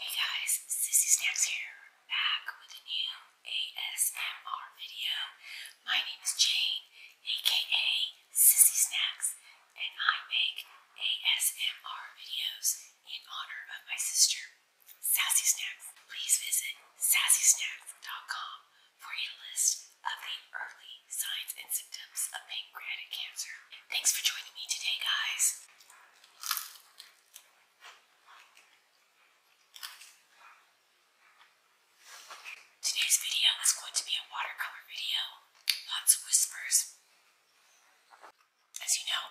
Hey guys, Sissy Snacks here, back with a new ASMR video. My name is Jane, aka Sissy Snacks, and I make ASMR videos in honor of my sister, Sassy Snacks. Please visit sassysnacks.com for a list of the early signs and symptoms of pancreatic cancer. Thanks for joining me today, guys. Today's video is going to be a watercolor video. Lots of whispers. As you know,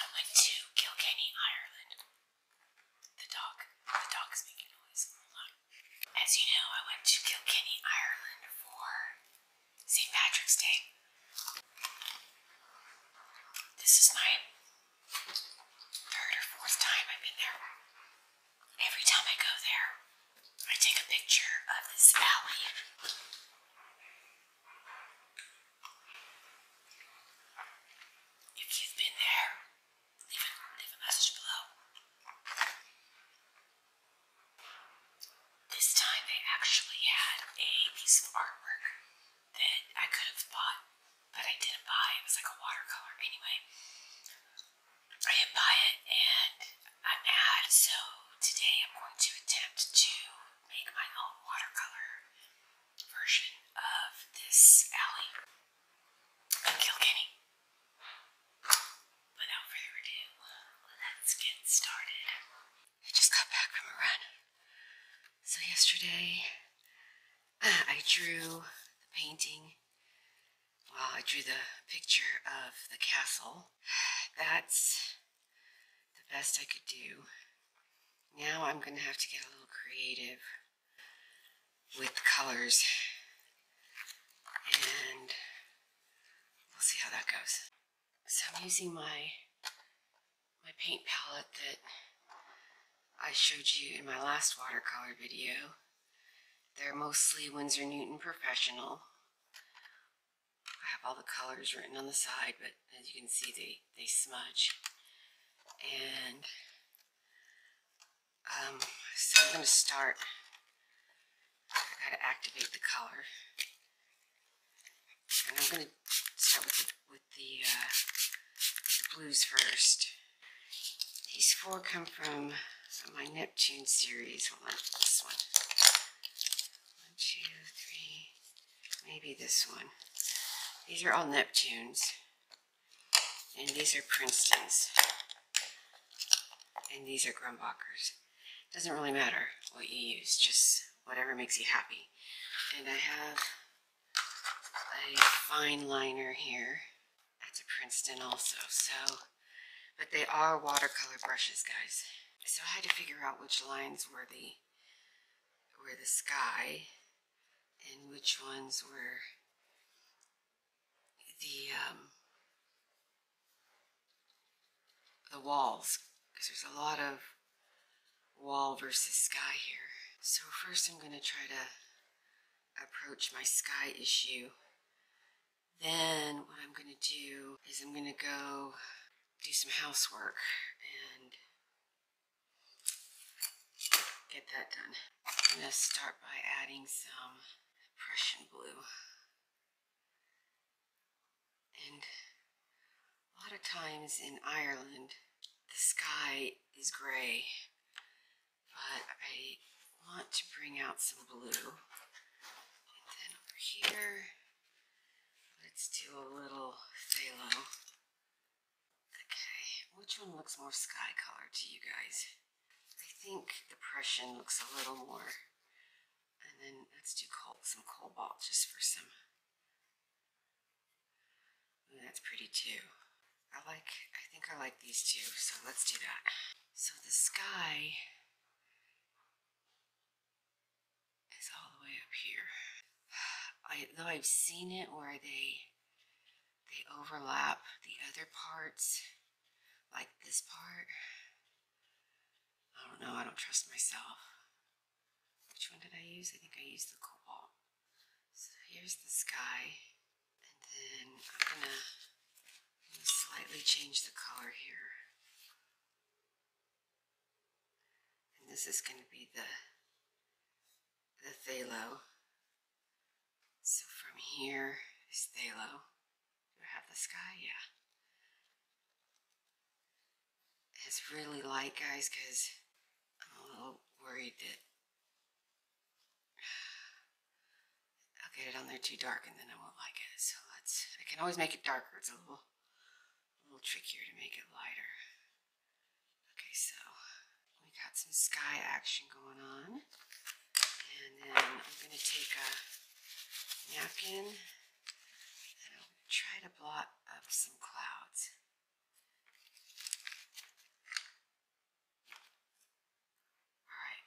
I went to Kilkenny, Ireland. The dog, the dog is making noise. As you know, I went to Kilkenny, Ireland for St. Patrick's Day. This is my third or fourth time I've been there. Every time I go there, I take a picture of this valley. If you've been there, leave a, message below. This time they actually had a piece of artwork that I could have bought, but I didn't buy. It was like a watercolor. Anyway, I didn't buy it and I'm mad, so today I'm going to attempt to make my own watercolor version of this alley in Kilkenny. Without further ado, let's get started. I just got back from a run. So yesterday, I drew the painting. Well, I drew the picture of the castle. That's the best I could do. Now I'm going to have to get a little creative with the colors. And we'll see how that goes. So I'm using my my paint palette that I showed you in my last watercolor video. They're mostly Winsor Newton Professional. I have all the colors written on the side, but as you can see, they, they smudge. And um, so I'm going to start. I have got to activate the color. And I'm going to start with, uh, the, blues first. These four come from my Neptune series. Hold this one. One, two, three, maybe this one. These are all Neptunes. And these are Princeton's. And these are Grumbacher's. It doesn't really matter what you use, just whatever makes you happy. And I have a fine liner here. That's a Princeton also, so, but they are watercolor brushes, guys. So I had to figure out which lines were the, were the sky and which ones were the, um, the walls because there's a lot of wall versus sky here. So first I'm going to try to approach my sky issue. Then what I'm going to do is I'm going to go do some housework and get that done. I'm going to start by adding some Prussian blue. And a lot of times in Ireland, the sky is gray, but I want to bring out some blue. And then over here, let's do a little phthalo. Okay, which one looks more sky color to you guys? I think the Prussian looks a little more. And then let's do some cobalt just for some that's pretty too. I like, I think I like these two, so let's do that. So the sky is all the way up here. I, though I've seen it where they, they overlap the other parts, like this part. I don't know, I don't trust myself. Which one did I use? I think I used the cobalt. So here's the sky. And then I'm gonna, slightly change the color here. And this is gonna be the the Thalo. So from here is Thalo. Do I have the sky? Yeah it's really light, guys, because I'm a little worried that I'll get it on there too dark and then I won't like it. So let's, I can always make it darker. It's a little, a little trickier to make it lighter. Okay, so we got some sky action going on. And then I'm going to take a napkin try to blot up some clouds. Alright.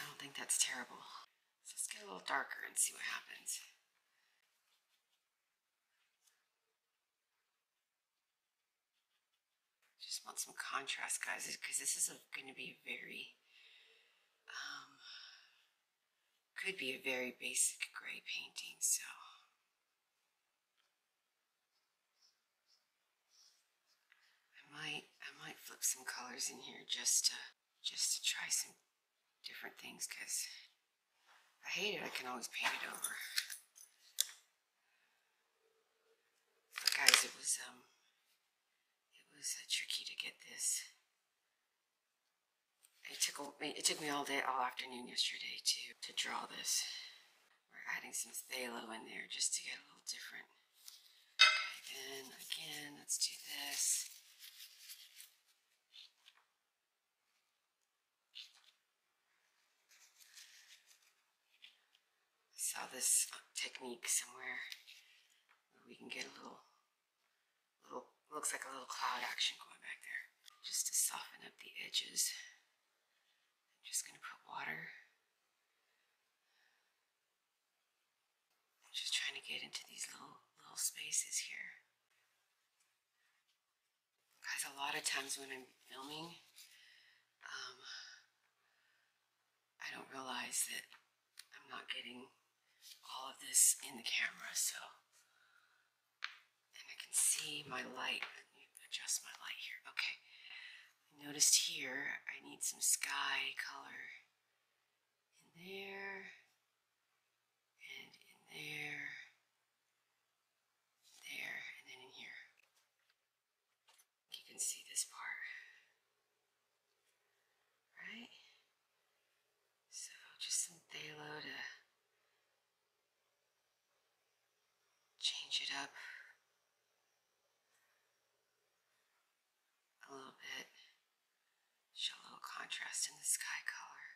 I don't think that's terrible. let's get a little darker and see what happens. Just want some contrast, guys, because this is going to be a very um, could be a very basic gray painting, so. I might, I might flip some colors in here just to, just to try some different things, because I hate it, I can always paint it over. But guys, it was, um, it was uh, tricky to get this it took me it took me all day, all afternoon yesterday to to draw this. We're adding some phthalo in there just to get a little different. Okay, then again, let's do this. saw this uh, technique somewhere where we can get a little Little, looks like a little cloud action going back there. Just to soften up the edges. I'm just gonna put water. just trying to get into these little, little spaces here. Guys, a lot of times when I'm filming, um, I don't realize that I'm not getting all of this in the camera, so and I can see my light. Adjust my light here. Okay. noticed here I need some sky color in there and in there, there, and then in here. You can see this part. Right? So just some Thalo to change it up a little bit. Show a little contrast in the sky color.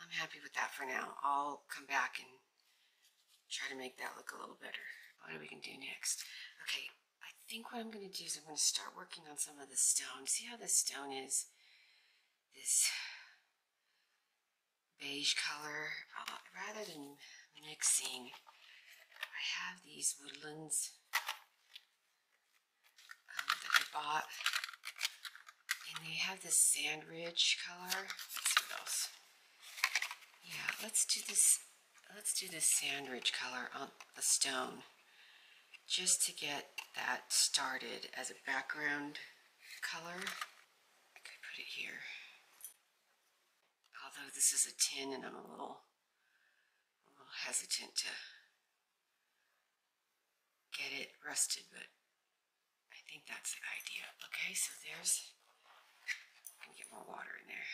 I'm happy with that for now. I'll come back and try to make that look a little better. What do we can do next? Okay, I think what I'm going to do is I'm going to start working on some of the stone. See how the stone is this beige color. Uh, rather than mixing, I have these woodlands um, that I bought. And they have this sand ridge color. Let's see what else. Yeah, let's do this Let's do the sandwich color on the stone just to get that started as a background color. I could put it here. Although this is a tin and I'm a little, a little hesitant to get it rusted, but I think that's the idea. Okay, so there's, let me get more water in there.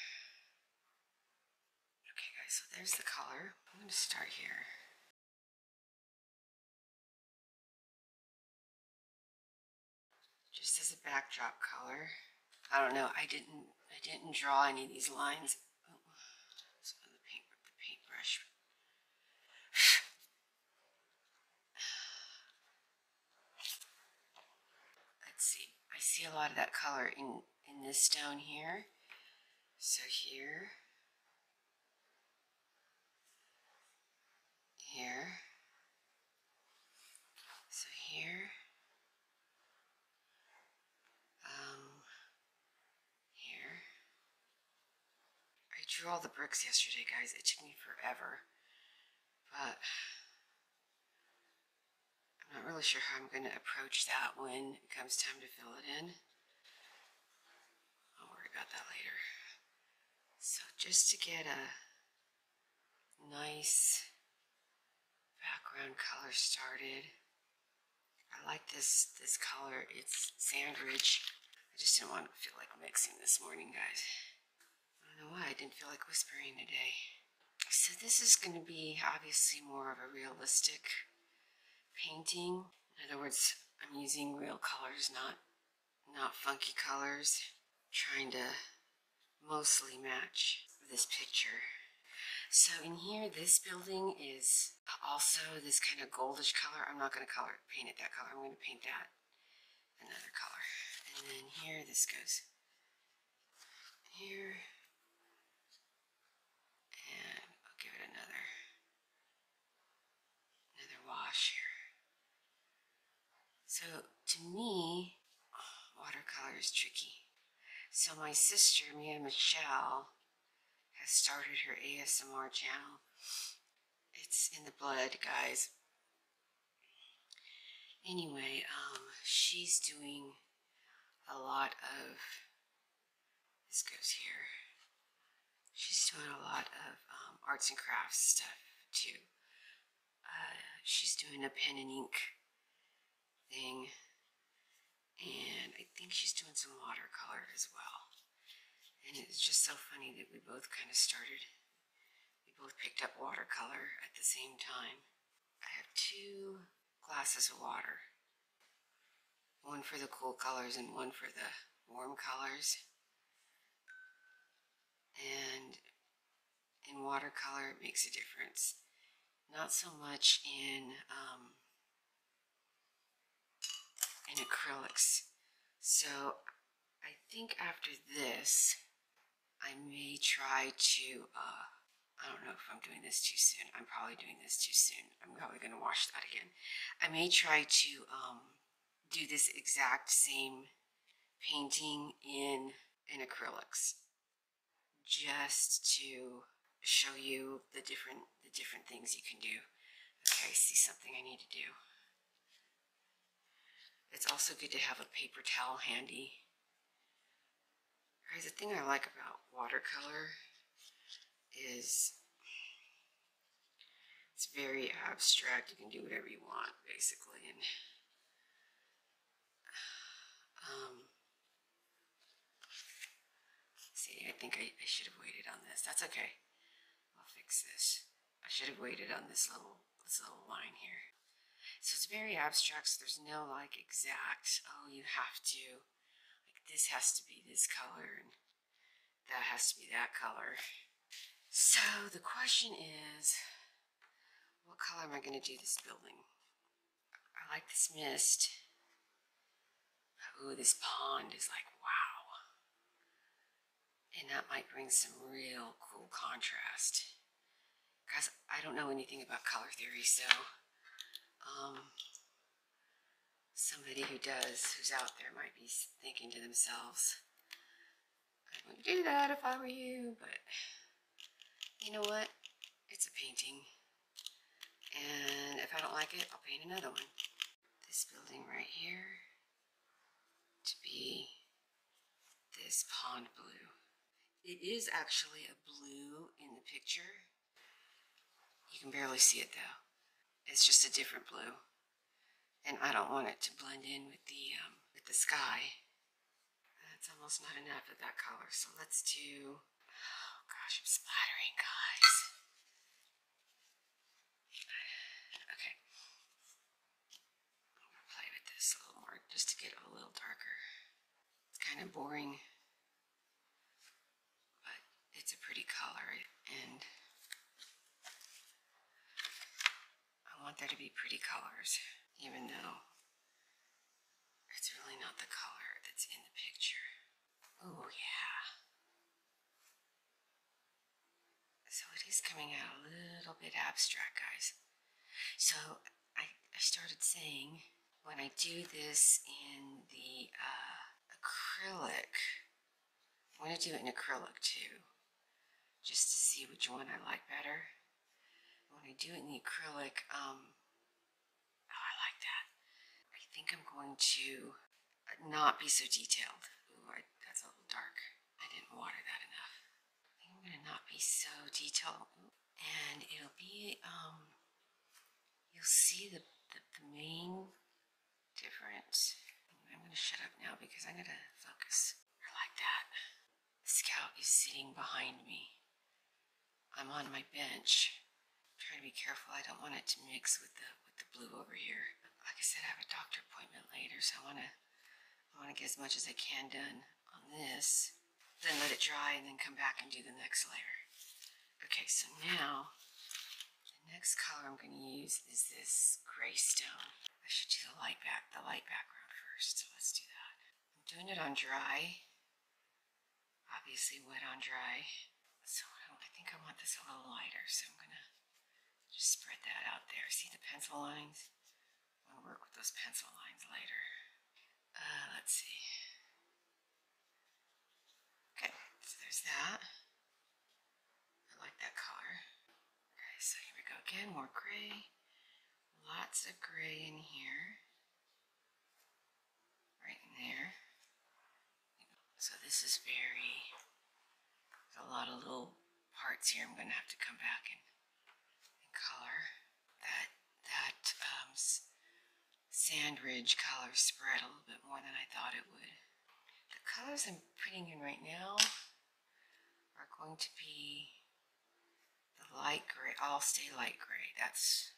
Okay guys, so there's the color. I'm going to start here. Just as a backdrop color. I don't know, I didn't I didn't draw any of these lines. Oh, Let's see. I see a lot of that color in in this down here. So here, here, so here, um, here. I drew all the bricks yesterday, guys. It took me forever, but I'm not really sure how I'm going to approach that when it comes time to fill it in. I'll worry about that later. So just to get a nice background color started, I like this, this color. It's sand I just didn't want to feel like mixing this morning, guys. I don't know why I didn't feel like whispering today. So this is going to be obviously more of a realistic painting. In other words, I'm using real colors, not, not funky colors. trying to mostly match this picture. So in here, this building is also this kind of goldish color. I'm not going to color paint it that color. I'm going to paint that another color. And then here, this goes here and I'll give it another another wash here. So to me, watercolor is tricky. So my sister, Mia Michelle, has started her ASMR channel. It's in the blood, guys. Anyway, um, she's doing a lot of this goes here. She's doing a lot of um, arts and crafts stuff too. Uh, she's doing a pen and ink thing, and I think she's doing some watercolor as well. And it's just so funny that we both kind of started, we both picked up watercolor at the same time. I have two glasses of water. One for the cool colors and one for the warm colors. And in watercolor, it makes a difference. Not so much in, um, in acrylics. So I think after this, I may try to uh, I don't know if I'm doing this too soon. I'm probably doing this too soon. I'm probably going to wash that again. I may try to um, do this exact same painting in, in acrylics just to show you the different, the different things you can do. Okay, I see something I need to do. It's also good to have a paper towel handy Guys, the thing I like about watercolor is it's very abstract. You can do whatever you want, basically. And um, see, I think I, I should have waited on this. That's okay. I'll fix this. I should have waited on this little this little line here. So it's very abstract. So there's no like exact. Oh, you have to this has to be this color and that has to be that color. So the question is, what color am I going to do this building? I like this mist. Ooh, this pond is like, wow. And that might bring some real cool contrast. Guys, I don't know anything about color theory, so um, somebody who does, who's out there, might be thinking to themselves, I wouldn't do that if I were you, but you know what? It's a painting. And if I don't like it, I'll paint another one. This building right here to be this pond blue. It is actually a blue in the picture, you can barely see it though. It's just a different blue. And I don't want it to blend in with the, um, with the sky. That's almost not enough of that color. So let's do, oh gosh, I'm splattering, guys. Okay. play with this a little more just to get a little darker. It's kind of boring but it's a pretty color, and I want there to be pretty colors, even though it's really not the color that's in the picture. Oh, yeah. So it is coming out a little bit abstract, guys. So I, I started saying when I do this in the uh, acrylic, I'm going to do it in acrylic too, just to see which one I like better. When I do it in the acrylic, um, oh, I like that. I think I'm going to not be so detailed. Ooh, that's a little dark. I didn't water that enough. I think I'm going to not be so detailed. And it'll be, um, you'll see the, the, main difference. I'm going to shut up now because I'm going to focus. Or like that. scout is sitting behind me. I'm on my bench. i trying to be careful. I don't want it to mix with the with the blue over here. Like I said, I have a doctor appointment later, so I want to I want to get as much as I can done on this. Then let it dry and then come back and do the next layer. Okay, so now the next color I'm going to use is this gray stone. I should do the light back, the light background first, so let's do that. I'm doing it on dry, obviously wet on dry. So I think I want this a little lighter, so I'm going to just spread that out there. See the pencil lines? I want to work with those pencil lines later. Uh, let's see. Okay, so there's that. I like that color. Okay, so here we go again, more gray. Lots of gray in here. Right in there. So this is very, a lot of little parts here I'm gonna have to come back and, color. That, that um, sand ridge spread a little bit more than I thought it would. The colors I'm putting in right now are going to be the light gray. I'll stay light gray. That's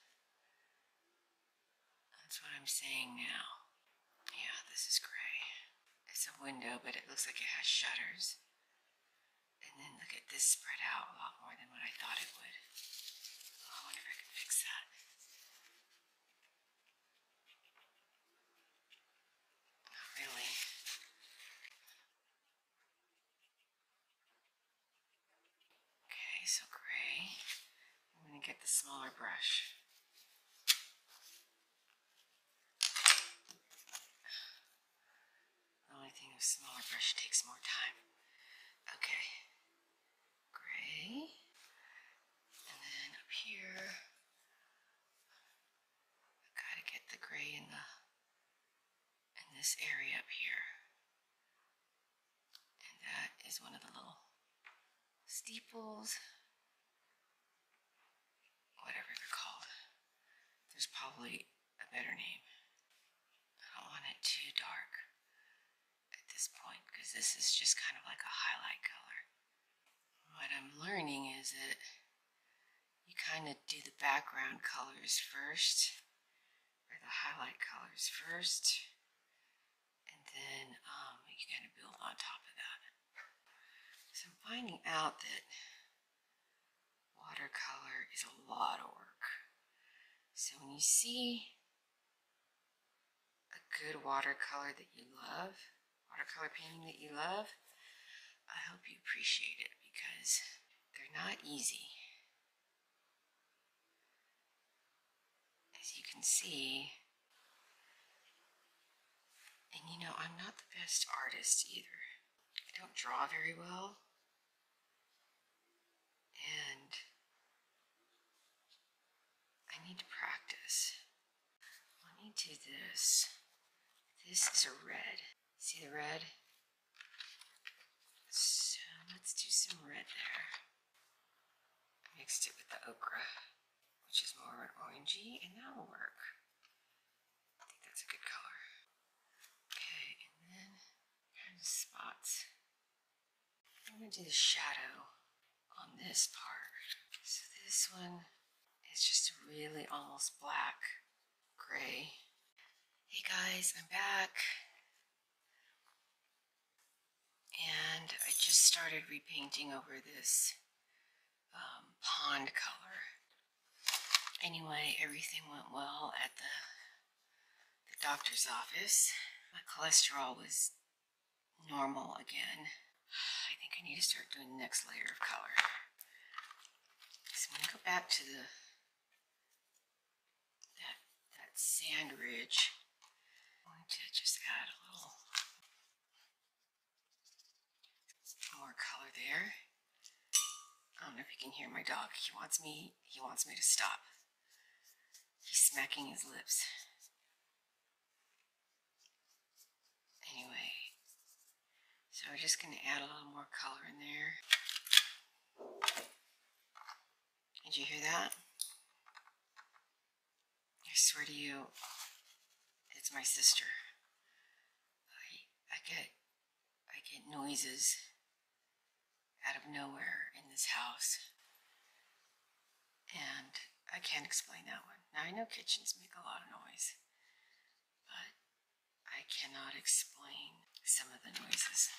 that's what I'm saying now. Yeah, this is gray. It's a window, but it looks like it has shutters. And then look at this spread out a lot more than what I thought it would. Oh, I wonder if I can fix that. Not really. Okay, so gray. I'm going to get the smaller brush. The only thing with smaller brush takes more time. Okay gray. And then up here, gotta get the gray in the in this area up here. And that is one of the little steeples, whatever they're called. There's probably a better name. I don't want it too dark at this point because this is just kind of like a highlight color. What I'm learning is that you kind of do the background colors first or the highlight colors first and then um, you kind of build on top of that. So finding out that watercolor is a lot of work. So when you see a good watercolor that you love, watercolor painting that you love, I hope you appreciate it because they're not easy. As you can see, and you know, I'm not the best artist either. I don't draw very well and I need to practice. Let me do this. This is a red. See the red? So let's do some red there. I mixed it with the okra, which is more of an orangey, and that'll work. I think that's a good color. Okay, and then kind of spots. I'm going to do the shadow on this part. So this one is just really almost black gray. Hey guys, I'm back. And I just started repainting over this um, pond color. Anyway, everything went well at the the doctor's office. My cholesterol was normal again. I think I need to start doing the next layer of color. So I'm going to go back to the that, that sand ridge. i want to just add a little more color there. I don't know if you can hear my dog. He wants me he wants me to stop. He's smacking his lips. Anyway, so we're just going to add a little more color in there. Did you hear that? I swear to you, it's my sister. I, I get I get noises out of nowhere in this house. And I can't explain that one. Now, I know kitchens make a lot of noise, but I cannot explain some of the noises.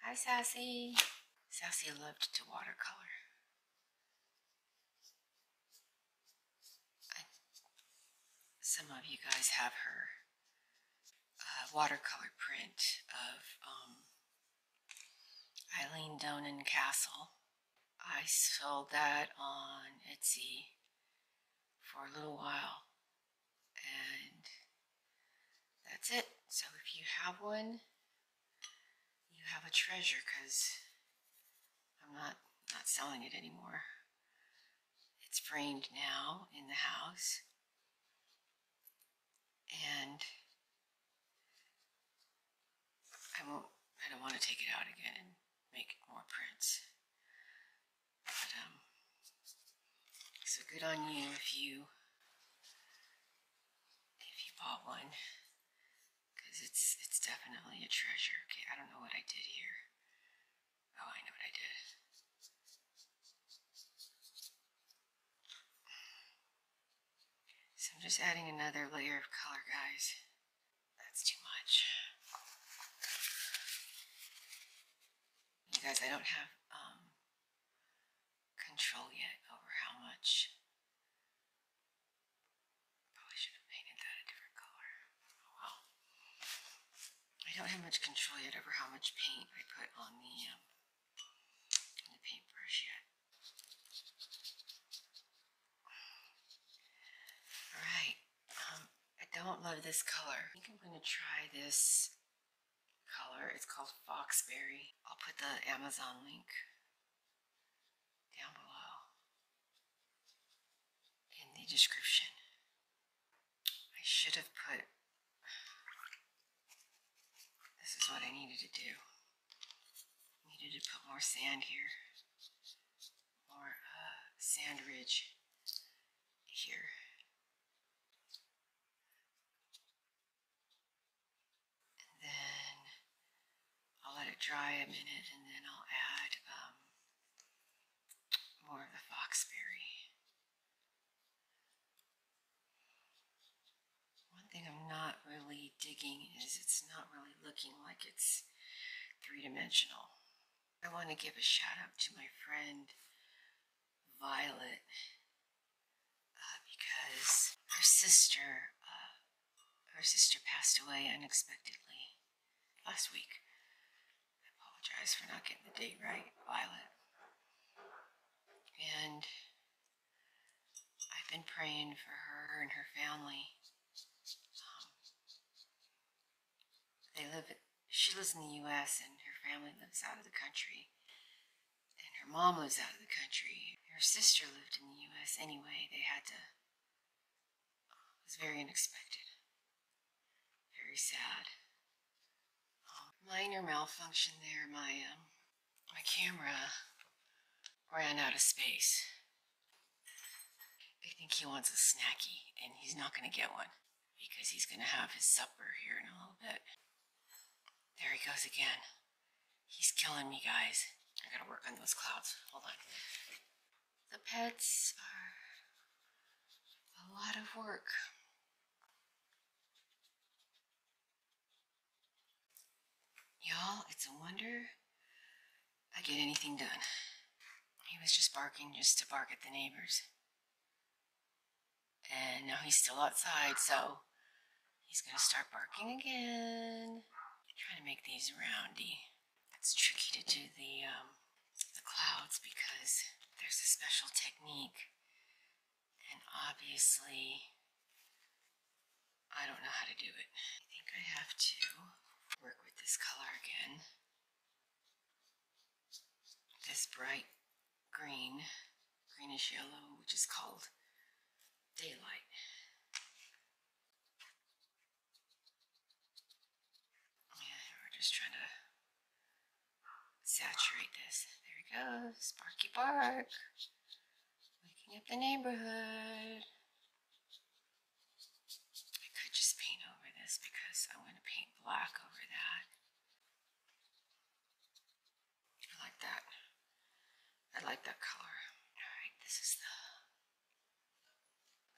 Hi, Sassy. Sassy loved to watercolor. some of you guys have her uh, watercolor print of um, Eileen Donan Castle. I sold that on Etsy for a little while. And that's it. So if you have one, you have a treasure because I'm not, not selling it anymore. It's framed now in the house and I won't, I don't want to take it out again and make more prints. But, um, so good on you if you, if you bought one, because it's, it's definitely a treasure. Okay, I don't know what I did here. Oh, I know what I did. So I'm just adding another layer of color, guys. That's too much. You guys, I don't have um, control yet over how much. Probably should have painted that a different color. Oh well. I don't have much control yet over how much paint I put on the, um, the paintbrush yet. All right, um, I don't love this color. I think I'm gonna try this color. It's called Foxberry. I'll put the Amazon link down below in the description. I should have put this is what I needed to do. I needed to put more sand here, more uh, sand ridge here. And then I'll let it dry a minute and then I'll add um, more of the foxberry. One thing I'm not really digging is it's not really looking like it's three-dimensional. I want to give a shout out to my friend Violet uh, because her sister uh, her sister passed away unexpectedly last week. I apologize for not getting the date right, Violet. And I've been praying for her and her family. Um, they live. she lives in the U.S. and her family lives out of the country. And her mom lives out of the country. Her sister lived in the U.S. Anyway, they had to. Uh, it was very unexpected. Very sad. Um, minor malfunction there. My um, my camera ran out of space. I think he wants a snacky, and he's not going to get one because he's going to have his supper here in a little bit. There he goes again. He's killing me, guys. I gotta work on those clouds. Hold on. The pets are a lot of work. Y'all, it's a wonder I get anything done. He was just barking just to bark at the neighbors. And now he's still outside, so he's gonna start barking again. trying to make these roundy. It's tricky to do the, um, the clouds because there's a special technique and obviously, I don't know how to do it. I think I have to work with this color again. This bright green, greenish yellow, which is called daylight. Yeah, we're just trying to saturate this. There we go, Sparky Bark. Waking up the neighborhood. I could just paint over this because I want to paint black over that. I like that. I like that color. Alright, this is the,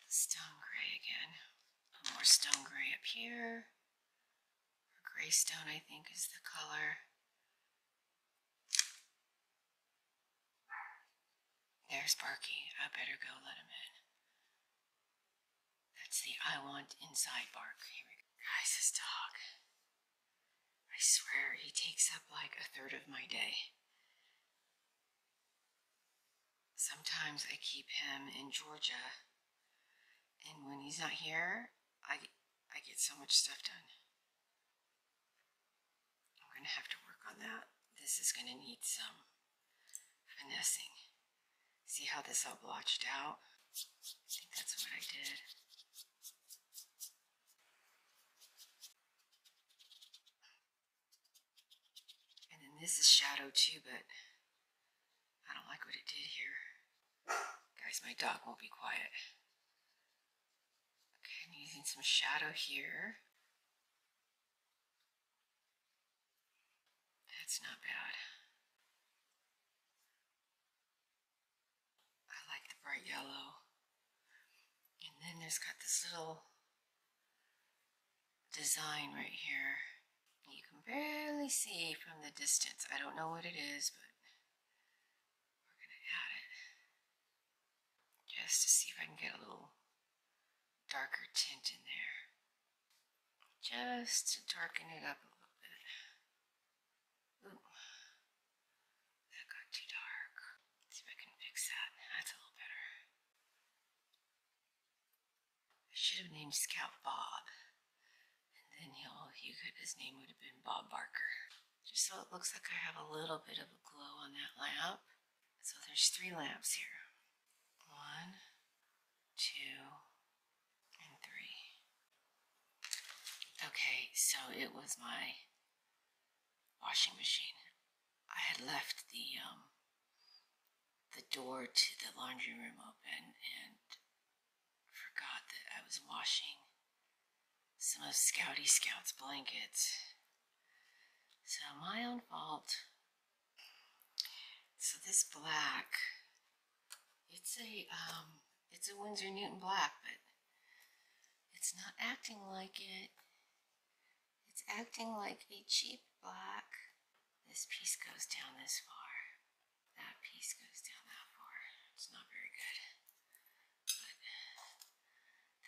stone gray again. more stone gray up here. gray stone, I think, is the color. There's Barky. I better go let him in. That's the I want inside bark. Here we dog. I swear he takes up like a third of my day. Sometimes I keep him in Georgia, and when he's not here, I I get so much stuff done. I'm going to have to work on that. This is going to need some finessing. See how this all blotched out? I think that's what I did. And then this is shadow too, but I don't like what it did here. Guys, my dog won't be quiet. Okay, I'm using some shadow here. That's not bad. I like the bright yellow. And then there's got this little design right here. You can barely see from the distance. I don't know what it is, but we're gonna add it just to see if I can get a little darker tint in there. Just to darken it up a little bit. Ooh, that got too dark. see if I can fix that. That's a little better. I should have named Scout Bob. And then he he could, his name would have been Bob Barker just so it looks like I have a little bit of a glow on that lamp. So there's three lamps here. One, two, and three. Okay, so it was my washing machine. I had left the um, the door to the laundry room open and forgot that I was washing some of Scouty Scout's blankets. So my own fault. So this black, it's a um, it's a Windsor Newton black, but it's not acting like it. It's acting like a cheap black. This piece goes down this far. That piece goes down that far. It's not very good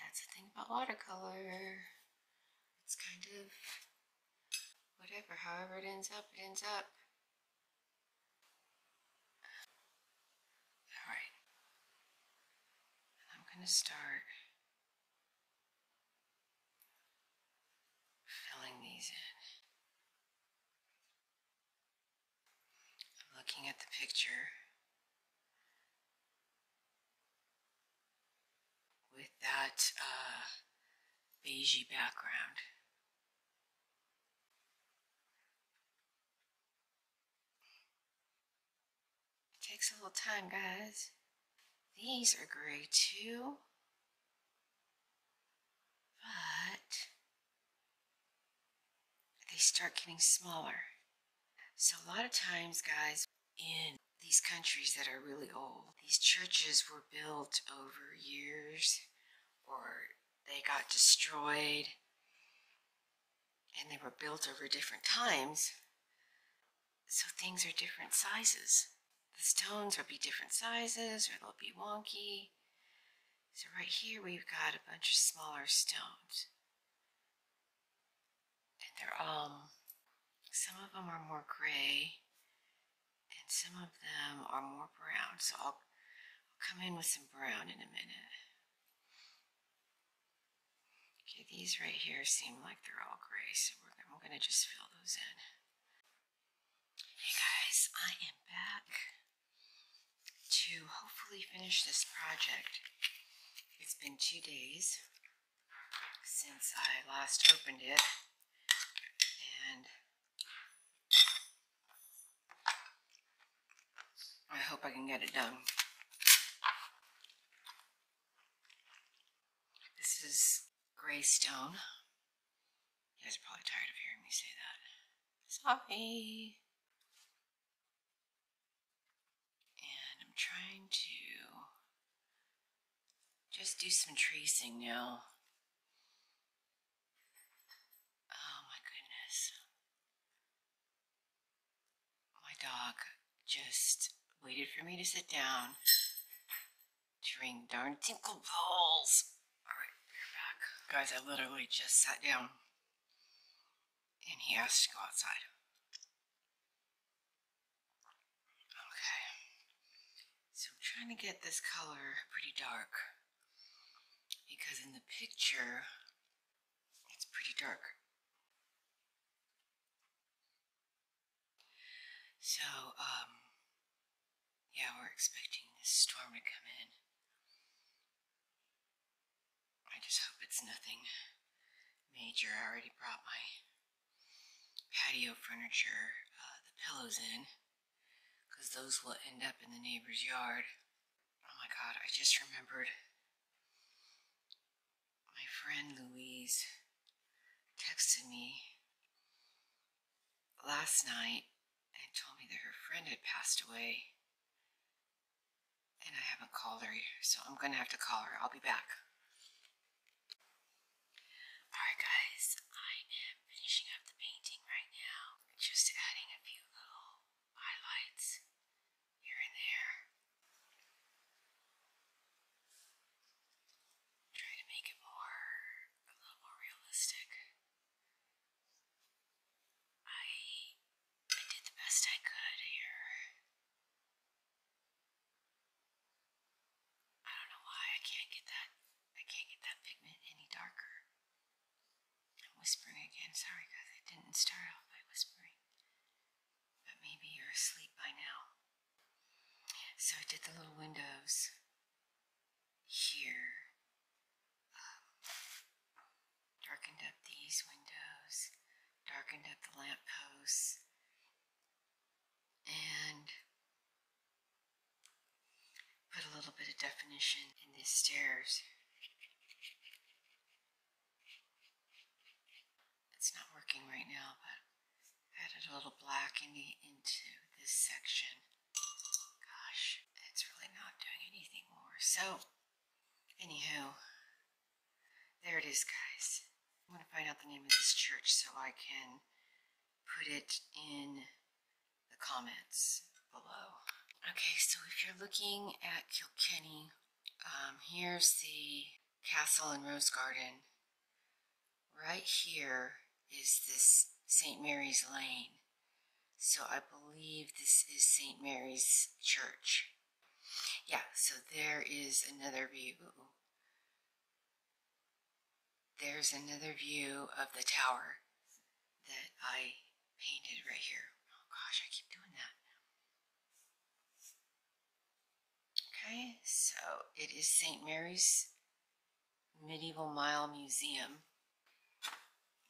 that's the thing about watercolor. It's kind of whatever, however it ends up, it ends up. All right. I'm going to start filling these in. I'm looking at the picture with that uh, beigey background. It takes a little time, guys. These are gray too, but they start getting smaller. So, a lot of times, guys, in these countries that are really old, these churches were built over years or they got destroyed and they were built over different times. So, things are different sizes. The stones will be different sizes or they'll be wonky. So, right here, we've got a bunch of smaller stones. And they're all, um, some of them are more gray and some of them are more brown. So I'll, come in with some brown in a minute. Okay, these right here seem like they're all gray, so I'm going to just fill those in. Hey guys, I am back to hopefully finish this project. It's been two days since I last opened it and I hope I can get it done. This is gray stone. You guys are probably tired of hearing me say that. Sorry. And I'm trying to just do some tracing now. Oh my goodness. My dog just waited for me to sit down to ring darn tinkle balls. All right, we're back. Guys, I literally just sat down and he has to go outside. Okay. So I'm trying to get this color pretty dark because in the picture it's pretty dark. So, um, yeah, we're expecting this storm to come in I just hope it's nothing major. I already brought my patio furniture, uh, the pillows in, because those will end up in the neighbor's yard. Oh my god, I just remembered my friend Louise texted me last night and told me that her friend had passed away and I haven't called her, yet, so I'm going to have to call her. I'll be back. Alright, guys, I am finishing up the painting right now. Just adding a few little highlights here and there. Try to make it more, a little more realistic. I I did the best I could here. I don't know why I can't get that I can't get that pigment any darker. I'm whispering again, sorry guys, I didn't start off by whispering. But maybe you're asleep by now. So I did the little windows here um, darkened up these windows, darkened up the lamp posts, and put a little bit of definition in these stairs. It's not working right now, but added a little black into this section. Gosh, it's really not doing anything more. So Anyhow, there it is, guys. I want to find out the name of this church so I can put it in the comments below. Okay, so if you're looking at Kilkenny, um, here's the castle and rose garden. Right here is this St. Mary's Lane. So I believe this is St. Mary's Church. Yeah, so there is another view. There's another view of the tower that I painted right here. Oh gosh, I keep doing that. Okay, so it is St. Mary's Medieval Mile Museum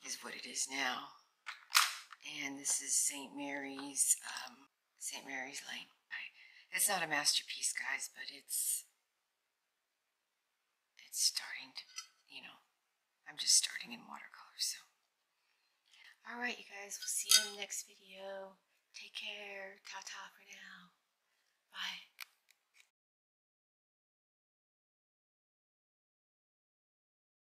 is what it is now. And this is St. Mary's, um, St. Mary's Lane. it's not a masterpiece, guys, but it's, it's starting to, you know, I'm just starting in watercolor, so. All right, you guys, we'll see you in the next video. Take care. Ta-ta for now. Bye.